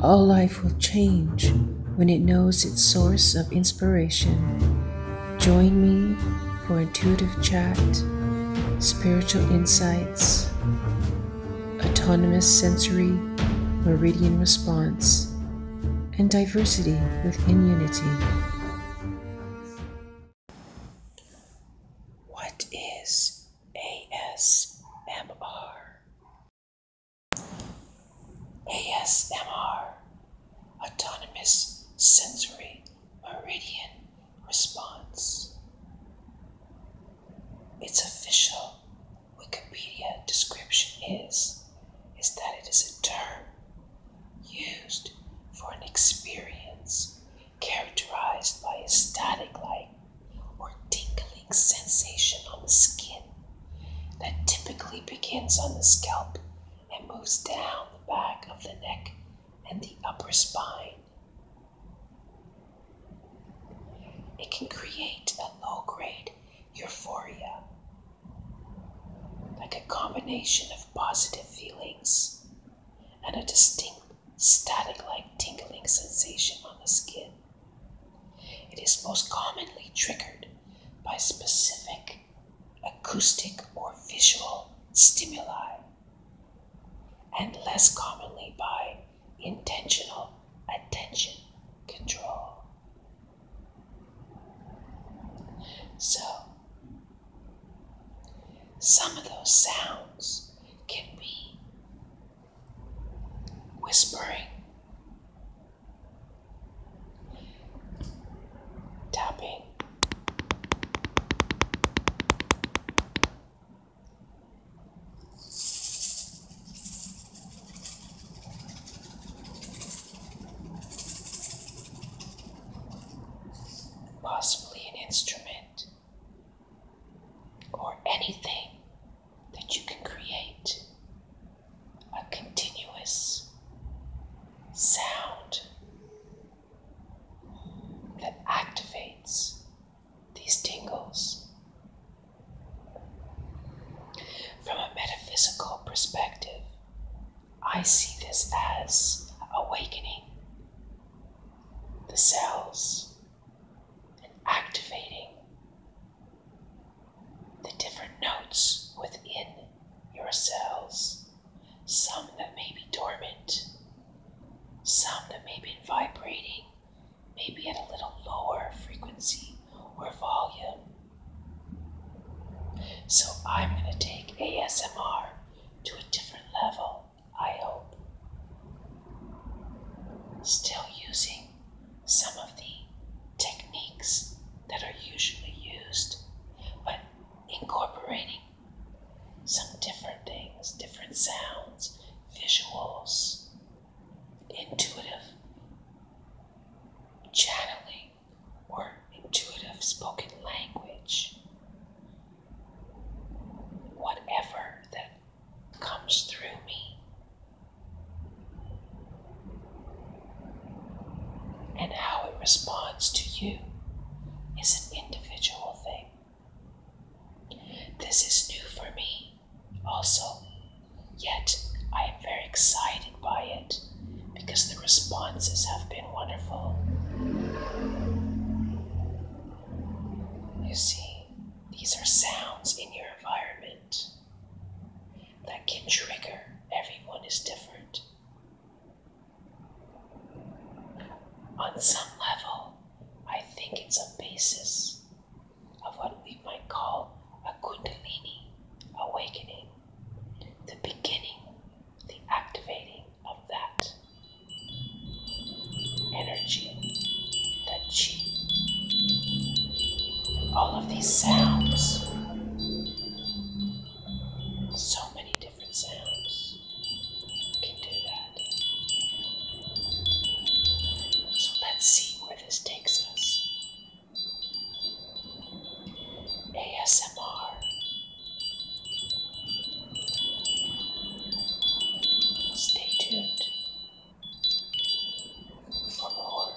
All life will change when it knows its source of inspiration. Join me for intuitive chat, spiritual insights, autonomous sensory meridian response, and diversity within unity. What is ASMR. ASMR, Autonomous Sensory Meridian Response. Its official Wikipedia description is, is that it is a term used for an experience characterized by a static like or tingling sensation on the skin that typically begins on the scalp and moves down the back of the neck and the upper spine. It can create a low grade euphoria, like a combination of positive feelings and a distinct static like tingling sensation on the skin. It is most commonly triggered by specific acoustic or visual stimuli, and less commonly by intentional attention control. So, some of those sounds can be whispering, tapping, possibly an instrument, or anything that you can create a continuous sound that activates these tingles. From a metaphysical perspective, I see this as awakening the cells and activating the different notes within your cells, some that may be dormant, some that may be vibrating, maybe at a little lower frequency or volume. So I'm going to take ASMR to a different level, I hope. Still using some of the techniques that are usually used, but incorporating some different things, different sounds, visuals, intuitive channeling or intuitive spoken language. Whatever that comes through me. And how it responds to you is an individual thing. This is new for me, also, yet I am very excited by it because the responses have been wonderful. You see, these are sounds in your environment that can trigger. Everyone is different. On some level, I think it's a basis of what we might call a Kundalini awakening the beginning, the activating of that energy, that chi. All of these sounds, so many different sounds can do that. So let's see where this takes us. ASMR. Stay tuned for more.